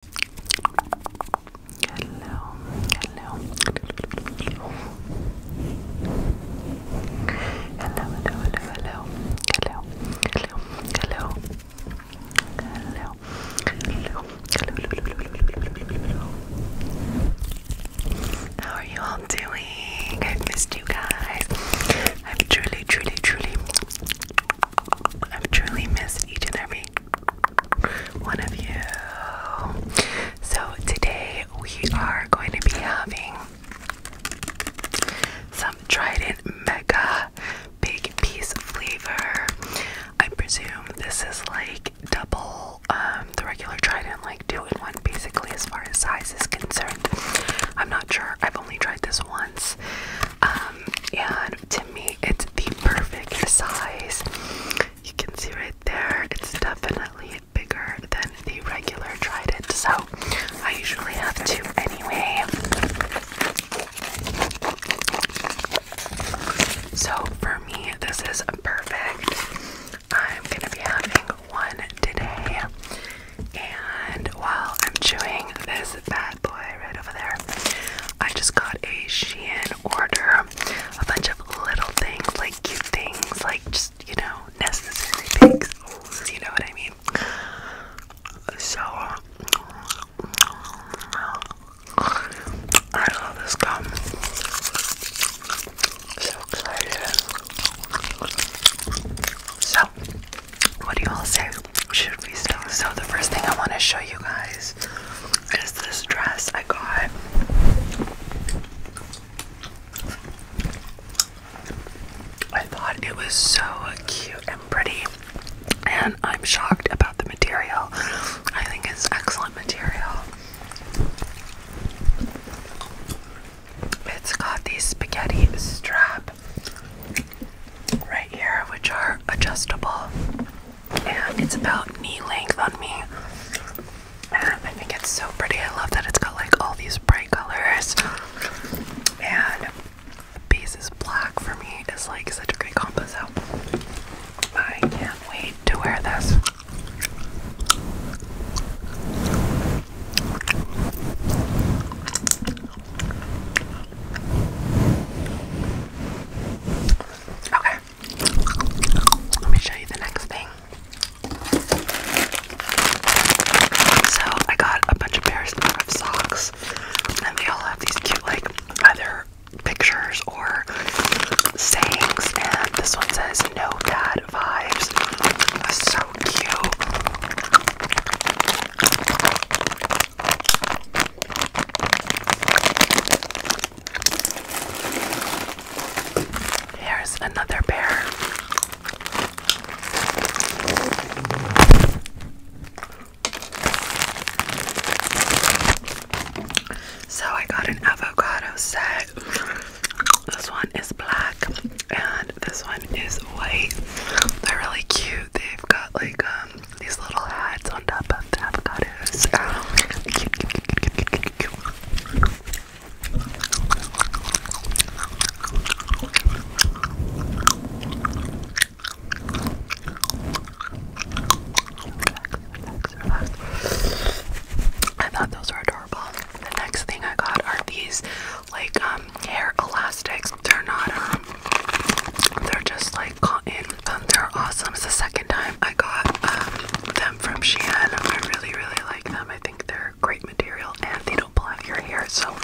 Hello, hello. Hello, hello, hello, hello. Hello, hello, hello. Hello, hello, hello. How are you all doing? I've missed you guys. I've truly, truly, truly, I've truly missed each and every one of you. So, today we are going to be having some Trident Mega Big Piece flavor. I presume this is like double um, the regular Trident, like two in one, basically, as far as size is concerned. I'm not sure, I've only tried this once. Um, me it's the perfect size. You can see right there, it's definitely bigger than the regular trident, so I usually have two anyway. So for me, this is perfect. I'm gonna be having one today. And while I'm chewing this bad boy right over there, I just got a Shein order, a bunch of little things, like cute things, like just, you know, necessary things. You know what I mean? So, I love this gum. So excited. So so, what do you all say? Should we start? So, the first thing I want to show you guys is this dress I got. I thought it was so cute and pretty, and I'm shocked about the material. I think it's excellent material. It's got these spaghetti strap right here, which are adjustable, and it's about knee length on me. And it's so pretty. I love that it's got like all these bright colors, and the base is black for me. It's like such a great combo. So I can't wait to wear this. Okay. Let me show you the next thing. So I got a bunch of pairs of socks, and they all have these cute, like, either pictures or sayings. And this one says "No Dad Vibes." So cute. There's another bear. So I got an avocado set. This one is black and this one is white. They're really cute got like um, these little hats on top of the avocados. Cute, I thought those were adorable. The next thing I got are these like um hair elastics. They're not, um, they're just like cotton. Um, they're awesome. It's the second time I got um, them from Shein. I really, really like them. I think they're great material and they don't pull out your hair. So.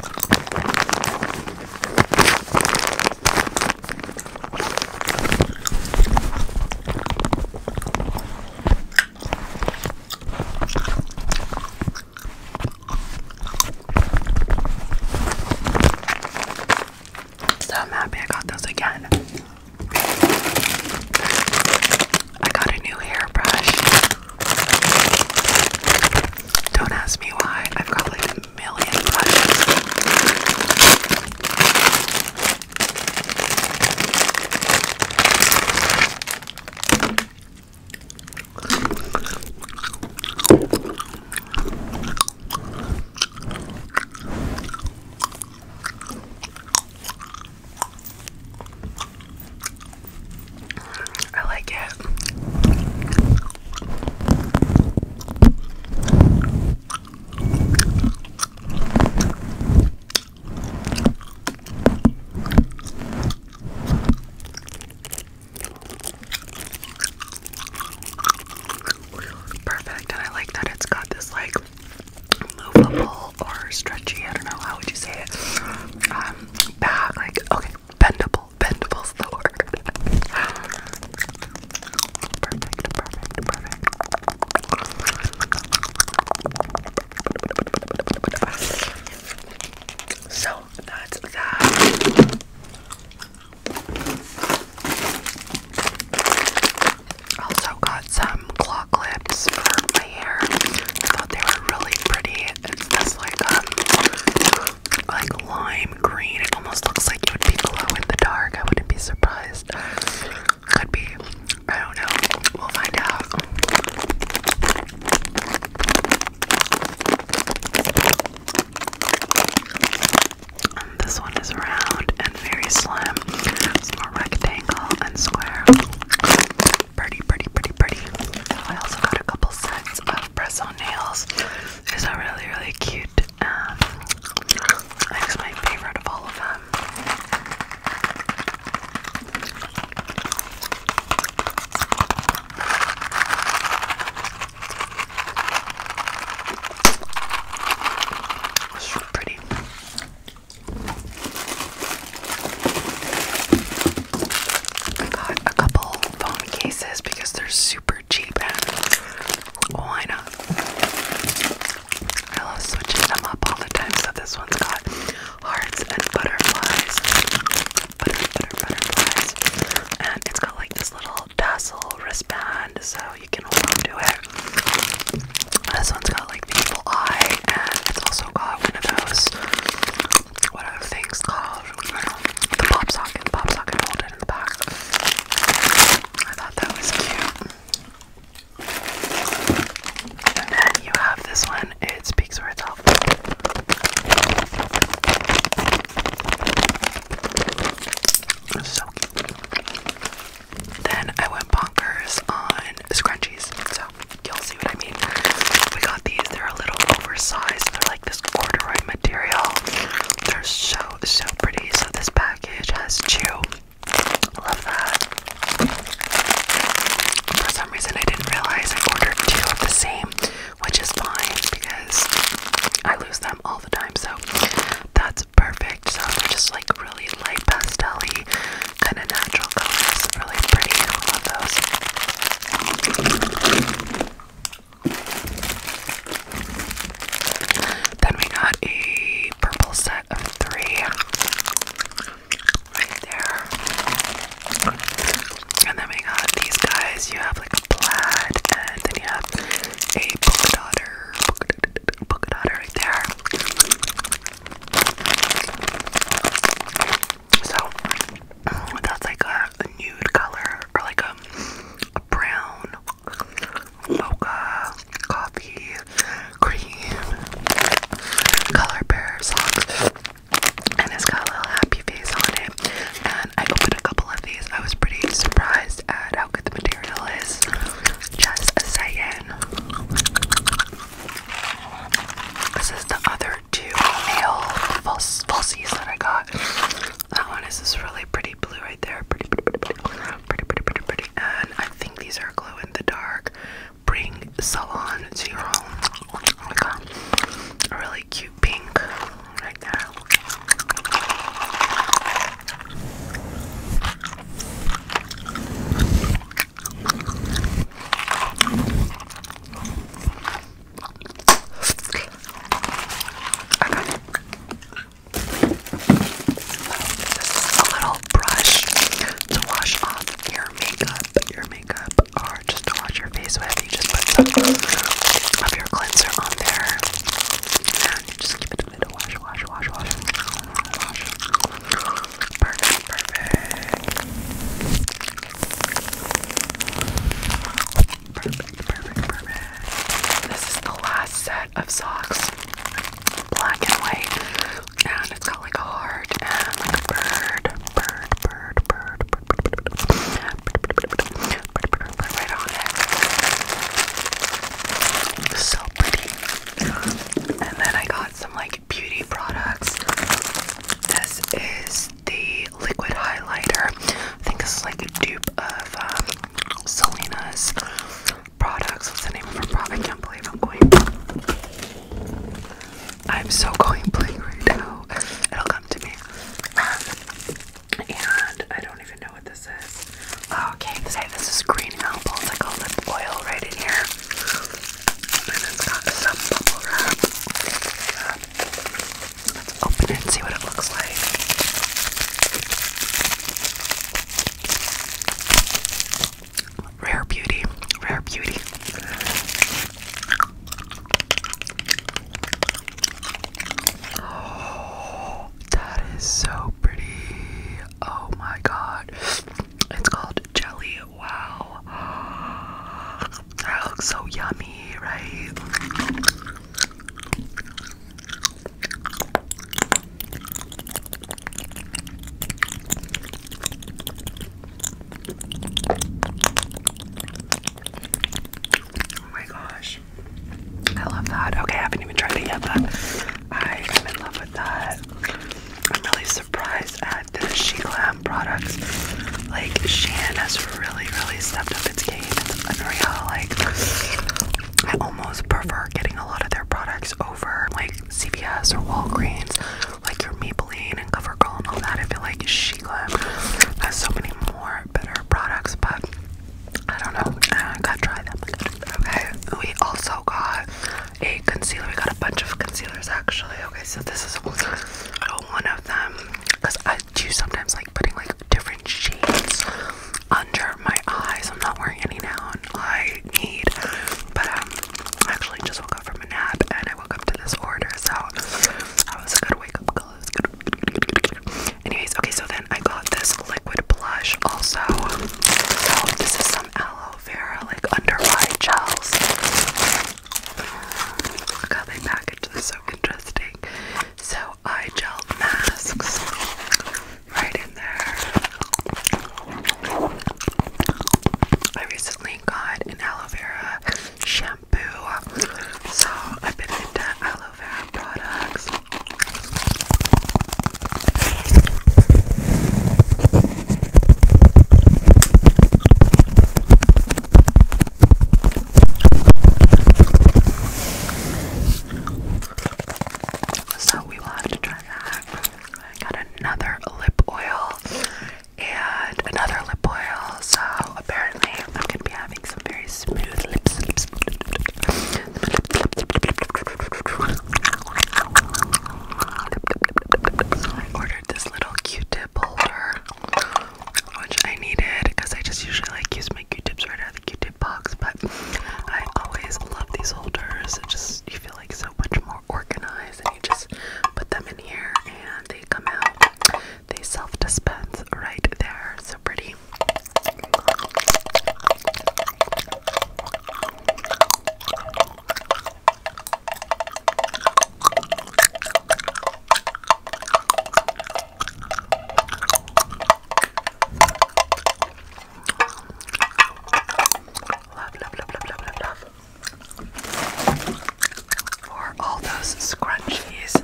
So happy I got those again. I got a new hairbrush. Don't ask me why. I've got like a million projects. I like it. Perfect, and I like that it's got this like movable or stretchy, I don't know, how would you say it? Um, bag, like, okay, Bendable. Bendable's the word. perfect, perfect, perfect. So that's that. Also got some claw clips for my I thought they were really pretty. It's like um like lime green. It almost looks like it would be glow in the dark. I wouldn't be surprised. Could be. I don't know. We'll find out. this one is round and very slim. It's more rectangle and square pretty, pretty, pretty, pretty. I also got a couple sets of press on nails. These are really, really cute. Um, I my favorite of all of them. pretty. I got a couple phone cases because they're super cheap and why not? I love switching them up all the time. So this one's got hearts and butterflies, and it's got like this little tassel wristband so you can hold to it. This one's got like I beautiful and it's also got one of those what are things called? The pop socket, pop holder in the back. I thought that was cute. And then you have this one, it speaks for itself. so cute. Then I went bonkers on scrunchies. You'll see what I mean. We got these. They're a little oversized. They're like this corduroy material. They're so, so pretty. So this package has two. I Love that. For some reason, I didn't realize I ordered two of the same, which is fine because I lose them all the time. So that's perfect. So they're just like really like light pastel y kind of natural colors. Really pretty. I love those. Then we got a purple set of three right there. And then we got these guys. You have like a plaid, and then you have a polka dotter, polka dotter right there. So um, that's like a, nude color or like a, brown mocha coffee cream color pair of And it's got a little happy face on it. And I opened a couple of these. I was pretty surprised at how good the material is. Just a second. This is the other two nail falsies falsies that I got. That one is this really pretty blue right there. Pretty, pretty, pretty, pretty, pretty, pretty, pretty, pretty. And I think these are glow in the dark. Bring salon to your home. Like a, a really cute pink right there. This is a little brush to wash off your makeup. Your makeup, or just to wash your face with. You just put some of your cleanser on there, and you just keep it the middle. Wash, wash, wash, wash, wash. Perfect, perfect. Perfect, perfect, perfect. This is the last set of socks. Black and white. And it's got like a heart and like a bird. Bird, bird, bird, bird, bird, bird, bird, bird, bird, bird, bird right on it. So pretty. And then I got some like beauty products. This is the liquid highlighter. I think this is like a dupe of um, Selena's products. What's the name of her product? I can't believe I'm going. I'm so going blank right now. It'll come to me. Um, and I don't even know what this is. Oh, okay, so this is green apple. It's like a lip oil right in here. And it's got some bubble wrap. Let's open it and see what it looks like. Rare beauty. Rare beauty. Oh, that is so pretty. Oh my god. It's called jelly. Wow. That looks so yummy, right? Oh my gosh. I love that. Okay, I haven't even tried it yet, but I am in love I'm really surprised at the She Glam products. Like, Shein has really, really stepped up its game. It's unreal. Like, I almost prefer getting a lot of their products over like CVS or Walgreens, like your Maybelline and CoverGirl and all that. I feel like She Glam has so many more better products, but I don't know. Uh, I gotta try them. Okay. We also got a concealer. We got a bunch of concealers actually. Okay, so this is one of them because I do sometimes like putting like different shades under my eyes. I'm not wearing any now, I need. But um, I actually just woke up from a nap and I woke up to this order, so that was a good wake up call. Anyways, okay, so then I got this liquid blush also. So um, oh, this is some aloe vera like under eye gels. Look how they package this so interesting. So eye gel masks right in there. I recently got an aloe vera shampoo. So I've been into aloe vera products. So we will have to try that. I got another lip oil and another lip oil. So apparently I'm gonna be having some very smooth lips. I ordered this little Q-tip holder, which I needed because I just usually like use my Q-tips right out of the Q-tip box. But I always love these holders. It just you feel like so much more organized, and you just put them in here, and they come out. They self-dispense right there. So pretty. Love, love, love, love, love, love, love. For all those scrunchies.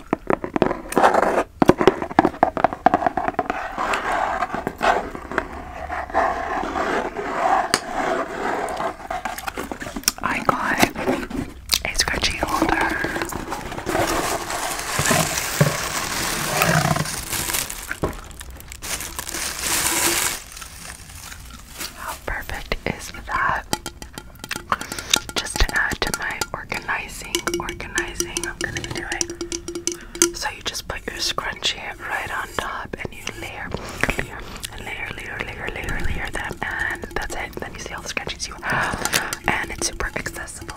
I got a scratchy holder. How perfect is that? Just to add to my organization organizing, organizing. I'm gonna be doing. So you just put your scrunchie right on top, and you layer, layer, layer, layer, layer, layer, layer them, and that's it. Then you see all the scrunchies you have, and it's super accessible.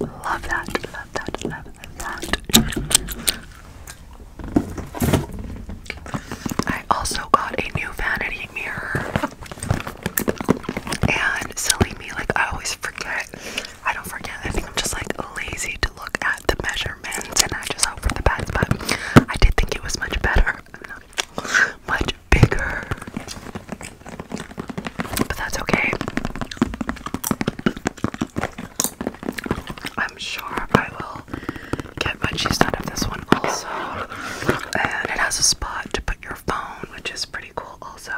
Love that, love that, love that. I also got a new vanity mirror. And silly me, like I always forget. I don't forget. I think I'm just like lazy to look at the measurements and I just hope for the best. But I did think it was much better. Much bigger. But that's okay. I'm sure I will get much use out of this one also. And it has a spot to put your phone, which is pretty pretty cool also.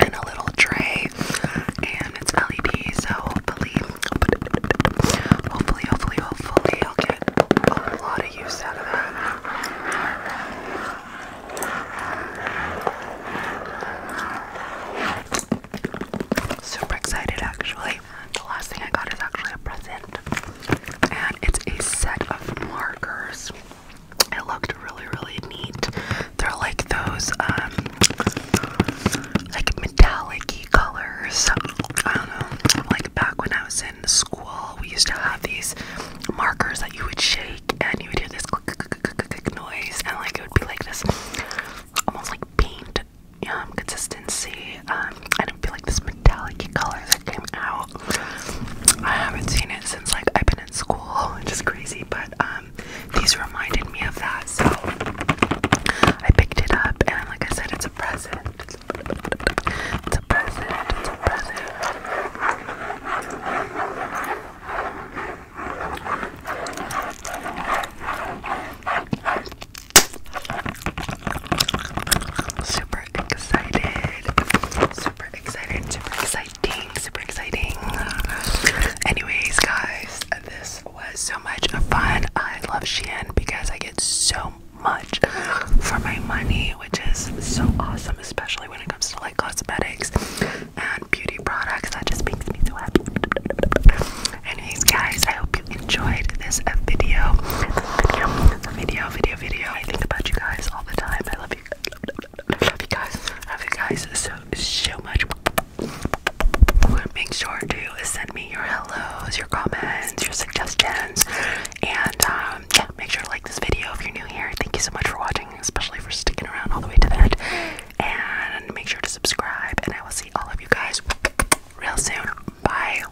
And a little tray. And it's LED, so hopefully hopefully, hopefully, hopefully I'll get a lot of use out of that. Super excited actually. The last thing I got is actually a present. And it's a set of markers. It looked really, really neat. They're like those, um, like metallic y colors. I don't know. Like back when I was in school, we used to have these markers that you would shake and you would hear this click, click, click, click, click noise, and like it would be like this almost like paint um, consistency. Um, and it would be like this metallic color that came out. I haven't seen it since like I've been in school, which is crazy, but um, these reminded me of that, so I picked it up and like I said it's a present. It's a present, it's a present. Super excited. Super excited. Super exciting. Super exciting. Anyways, guys, this was so much fun. I love Shein because I get so much for my money, which is so awesome, especially when it comes to like cosmetics and beauty products. That just makes me so happy. Anyways, guys, I hope you enjoyed this video, video I think about you guys all the time. I love you. Love you guys. Love you guys so so much. Make sure to send me your hellos, your comments, your suggestions, and um, yeah, make sure to like this video if you're new here. Thank you so much for watching, especially for sticking around all the way to the end. And make sure to subscribe. And I will see all of you guys real soon. Bye.